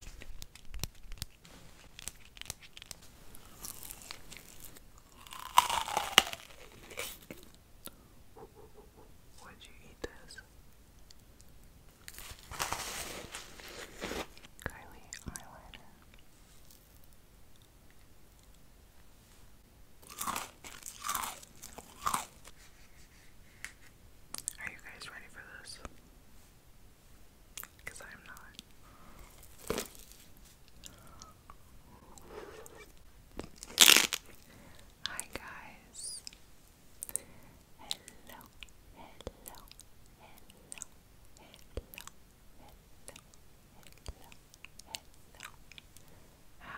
Why'd you eat this? Kylie eyeliner. Are you guys ready for this? Because Hi, guys. Hello, hello, hello, hello, hello, hello, hello.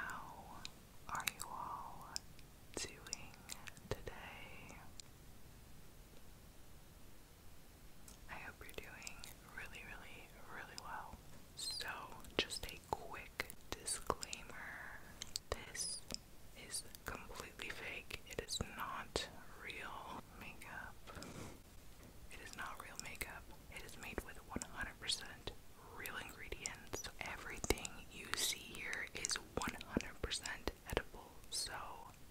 How are you all doing today? I hope you're doing really, really, really well. So, just a quick disclaimer this is completely fake, it is not real makeup. It is not real makeup. It is made with 100% real ingredients. Everything you see here is 100% edible, so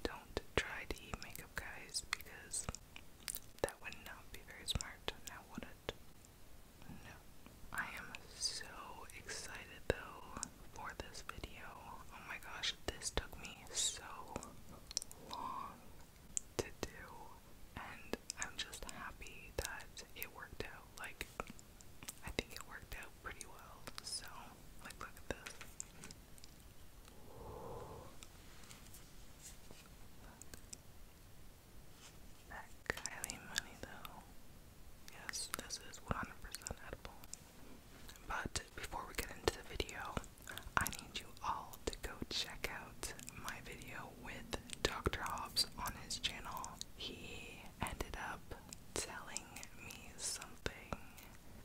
don't try to eat makeup, guys, because that would not be very smart. Now, would it? No. I am so excited though for this video. Oh my gosh, this took me so long to do, and I'm just happy that it worked out. Like, I think it worked out pretty well. So, like, look at this. That Kylie money, though. Yes, this is 100% edible. But before we get into the video, I need you all to go check out my video with Dr. Hobbs on his channel. He ended up selling me something.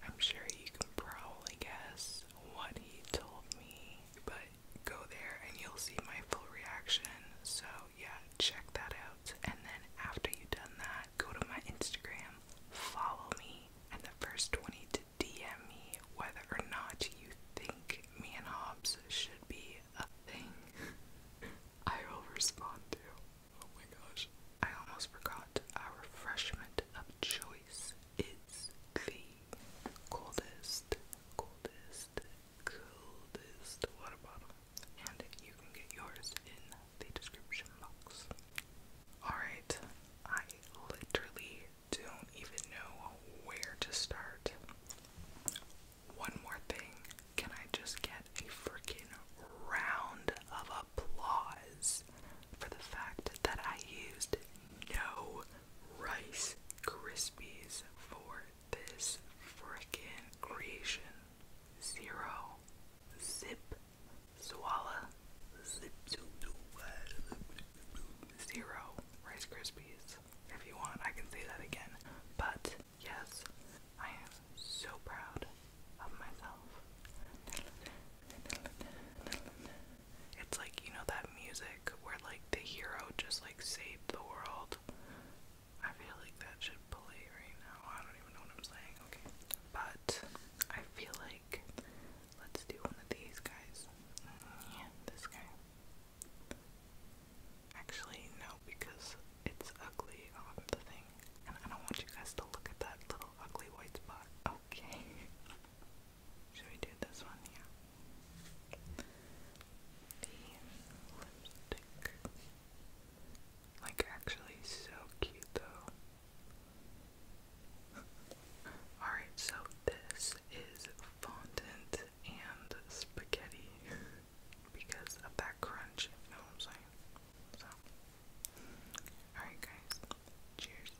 I'm sure you can probably guess what he told me, but go there and you'll see my full reaction. So, yeah, check that out. And then after you've done that, go to my Instagram, follow me, and the first 20 to DM me whether or not you think me and Hobbs should be a thing. I will respond to. Oh my gosh. I almost forgot our refreshment of choice is the coldest, coldest, coldest water bottle. And you can get yours in the description box. Alright, I literally don't even know where to start. One more thing. Can I just get a freaking round of applause for the fact that I used no Rice Krispies for this freaking creation. Zero. Zip. Swallow. Zip. Zero. Rice Krispies. If you want, I can say that again. But Yes, I am so proud of myself. It's like, you know, that music where, like, the hero just, like, saved the world. I feel like that should play right now. I don't even know what I'm saying. Okay. But I feel like let's do one of these guys. Mm, this guy. Actually, no, because it's ugly off the thing. And I don't want you guys to look at that little ugly white spot. Okay. Should we do this one? Yeah. The lipstick. Like, actually, so cute though. Alright, so this is fondant and spaghetti. because of that crunch, you know what I'm saying? So, alright, guys, cheers.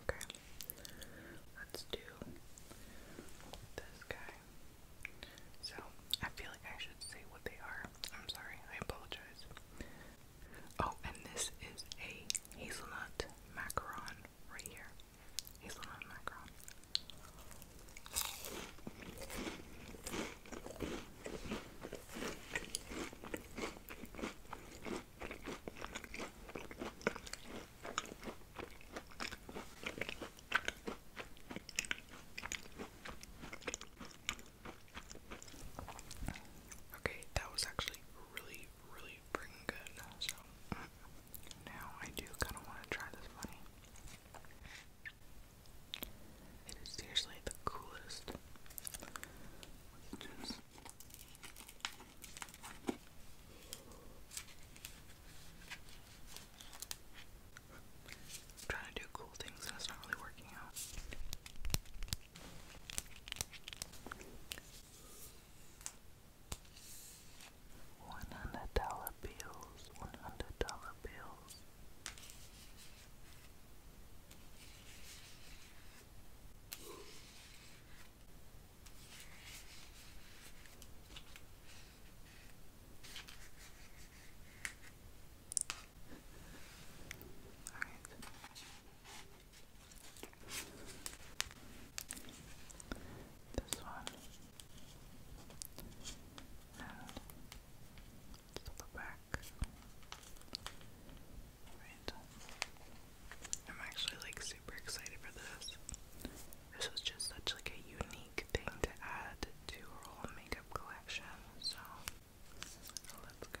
Okay, let's do this guy. So I feel like I should say what they are. I'm sorry, I apologize. Oh, and this is a hazelnut macaron right here. Hazelnut macaron. Okay, that was actually really, really freaking good. So now I do kind of want to try this money. It is seriously the coolest trying to do cool things and it's not really working out. One hundred dollar bills, one hundred dollar bills. This one. And to the back. Right. I'm actually like super excited for this. This is just such like a unique thing to add to our whole makeup collection, so let's go.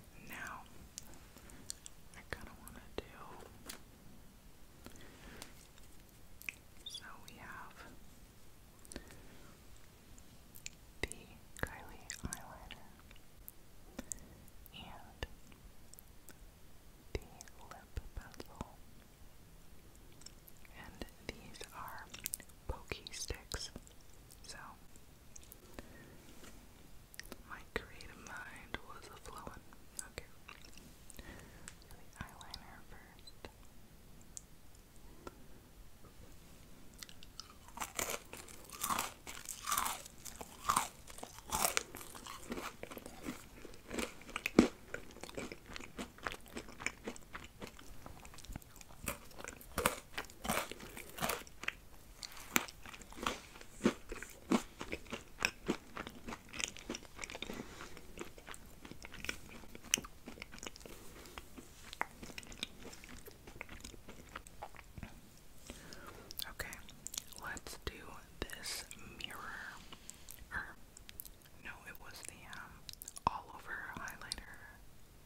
Now, I kind of want to do. So we have the Kylie eyeliner and the lip pencil. And these are pokey sticks. So my creative mind was a flowing. Okay. eyeliner first. Okay, let's do this mirror. no, it was the um, all over highlighter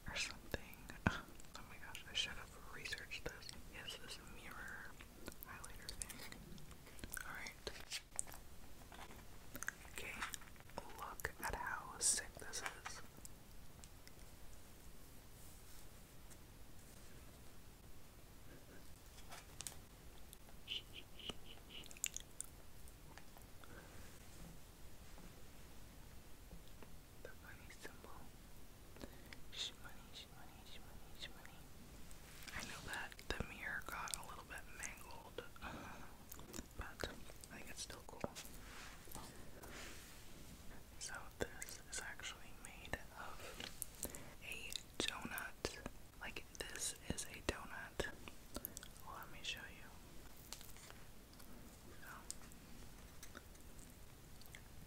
or something. Oh my gosh, I should have researched this. Yes, this mirror highlighter thing. Alright. Okay, look at how sick this is the money symbol. Sh money, sh money, I know that the mirror got a little bit mangled, but I think it's still cool. So this is actually made of a donut. Like this is a donut. let me show you.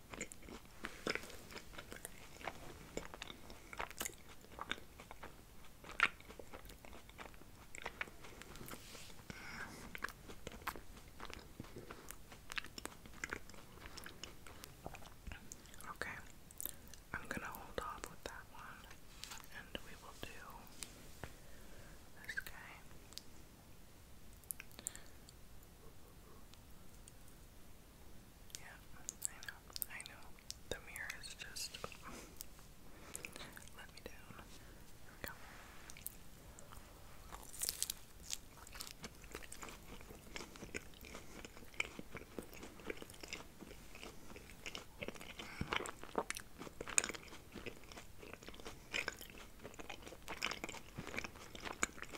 Okay, I'm going to hold off with that one and we will do this guy. Yeah, I know, I know. The mirror is just let me down. Here we go.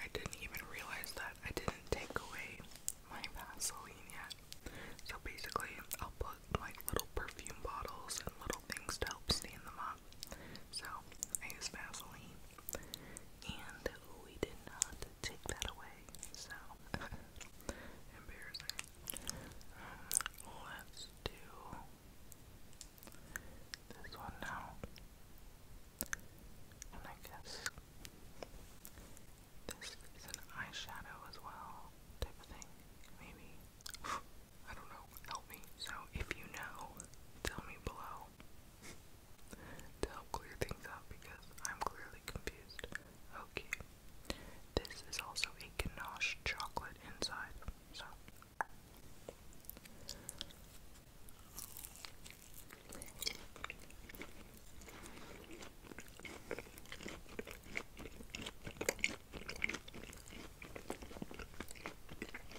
I didn't even realize that I didn't take away my Vaseline yet. So basically, I'll put my little perfume bottles and little things to help stain them up. So I use Vaseline and we did not take that away, so embarrassing. Uh, let's do this one now, and I guess this is an eyeshadow as well, type of thing, maybe. I don't know. Help me. So if you know, tell me below. to help clear things up because I'm clearly confused. Okay. This is also a ganache chocolate inside, so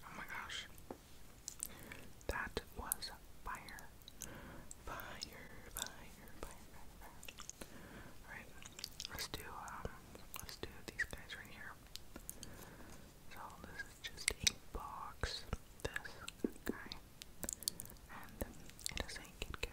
Oh my gosh. That was fire. Fire, fire, fire, fire, let's do um let's do these guys right here. So this is just a box. This guy. And it is a Kit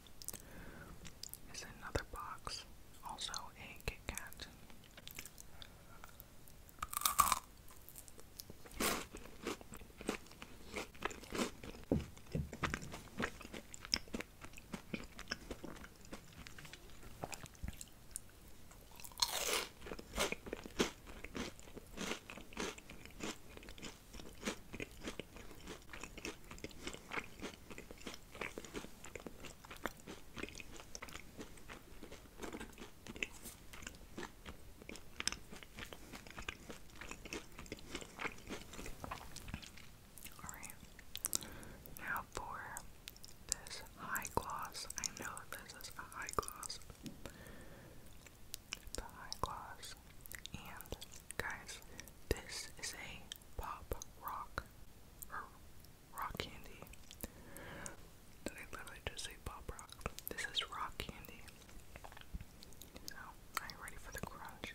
is another box, also a Kit Kat now for this high gloss. I know this is a high gloss. The high gloss. And guys, this is a pop rock or rock candy. They literally just say pop rock. This is rock candy. So, are you ready for the crunch?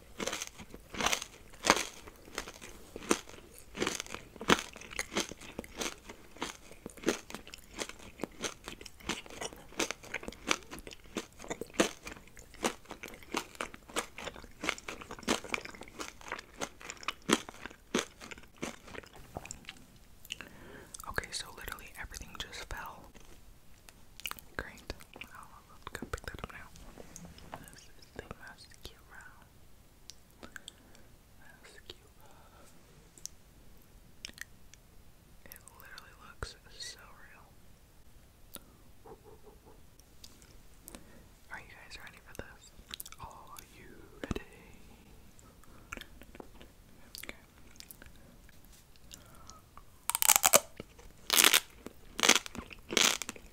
Okay, so literally everything just fell. Great. I'll go pick that up now the mascara. Mascara. It literally looks so real. Are you guys ready for this? Are you ready? Okay.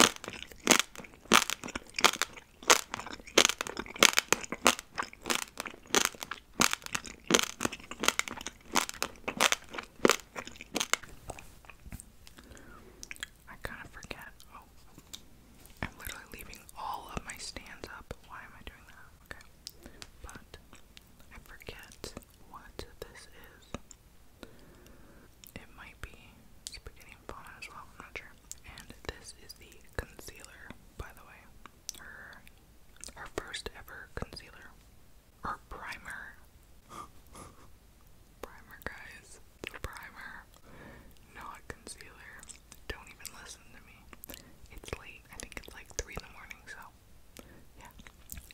I kind of forget. Oh, I'm literally leaving all of my stands up. Why am I doing that? Okay. But I forget what this is. It might be spaghetti and fauna as well, not sure. And this is the concealer, by the way. Her her first ever concealer. Or primer. primer guys. primer. Not concealer. Don't even listen to me. It's late. I think it's like three in the morning, so yeah.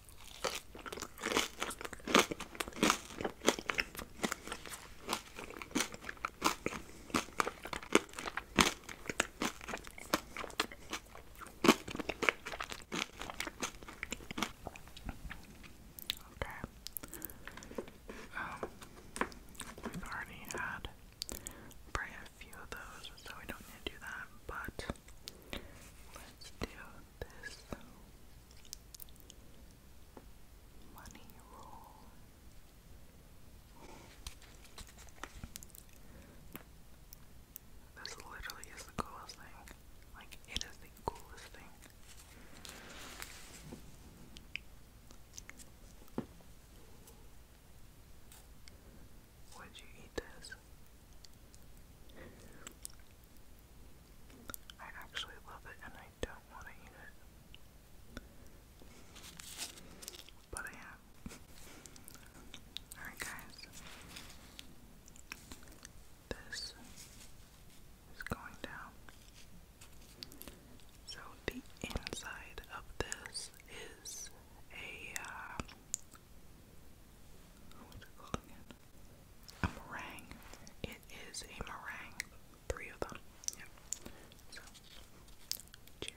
Okay. Um, we've already had probably a few of those, so we don't need to do that, but let's do this money roll. This literally is the coolest thing. Like, it is the coolest thing. Would you eat this? I actually love it and I don't want to eat it. But I am. Alright, guys. This is going down. So, the inside of this is a um, a meringue. It is a meringue. Three of them. Yep. So, cheers.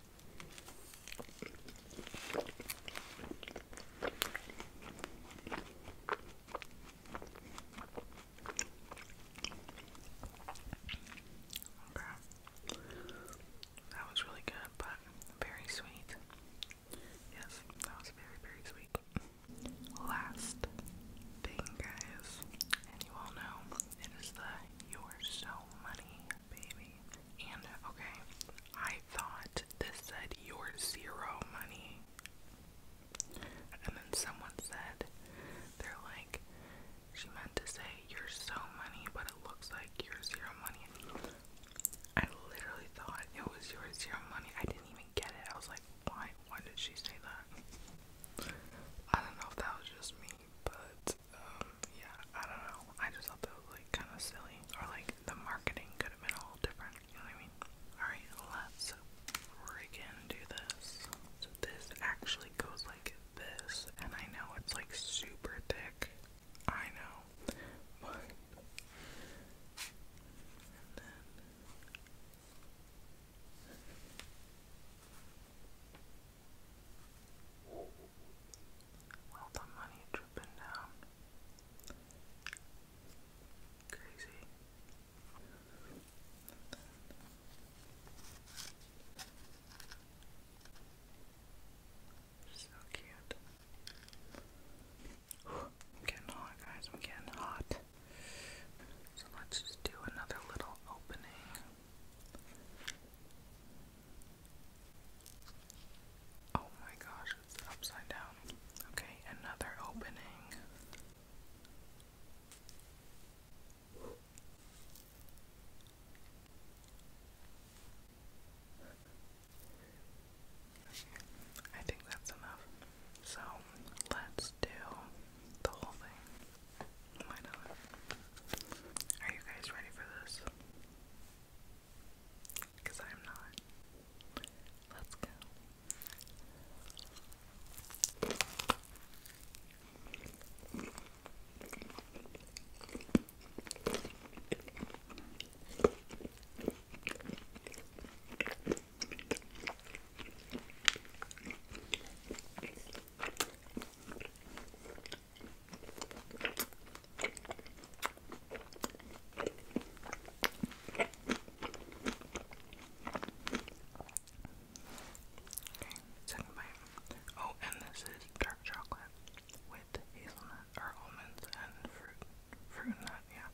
Okay. That was really good, but very sweet. Yes, that was very, very sweet. Last thing, guys, and you all know it is the you are so money, baby. And okay, I thought this said you're zero money. And then someone said, they're like, she meant to say you're so money, but it looks like you're zero money. I literally thought it was your zero money. I didn't even get it. I was like, why? Why did she say that? I don't know if that was just me, but um, yeah, I don't know. I just thought that was like kind of silly, or like the marketing could have been all different. You know what I mean? All right, let's friggin' do this. So this actually goes like this, and I know it's like super thick. I know, but and then. All the money dripping down. Crazy. So cute. I'm getting hot, guys. I'm getting hot. So let's just do another little opening. Oh my gosh, it's upside down. Okay, another opening. I think that's enough. So let's do the whole thing. Why not? Are you guys ready for this? Because I'm not. Let's go. Okay, second bite. Oh, and this is dark chocolate with hazelnut or almonds and fruit. Fruit nut, yeah.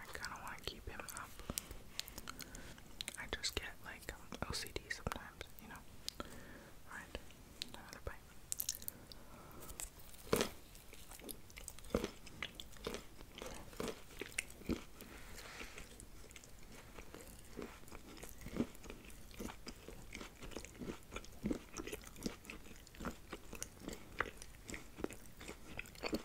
I kind of want to keep him up. I just get like um, OCD sometimes, you know. Alright, another bite.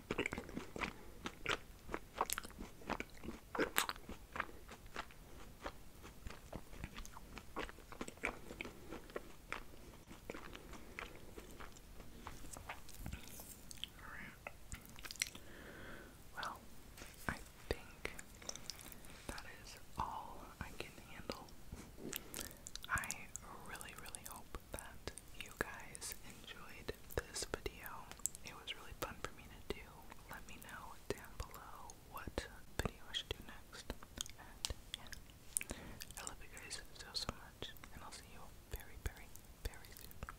Well, I think that is all I can handle. I really, really hope that you guys enjoyed this video. It was really fun for me to do. Let me know down below what video I should do next. And yeah, I love you guys so, so much. And I'll see you very, very, very soon.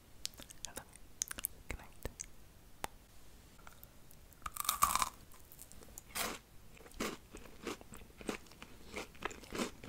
I love you. Good night.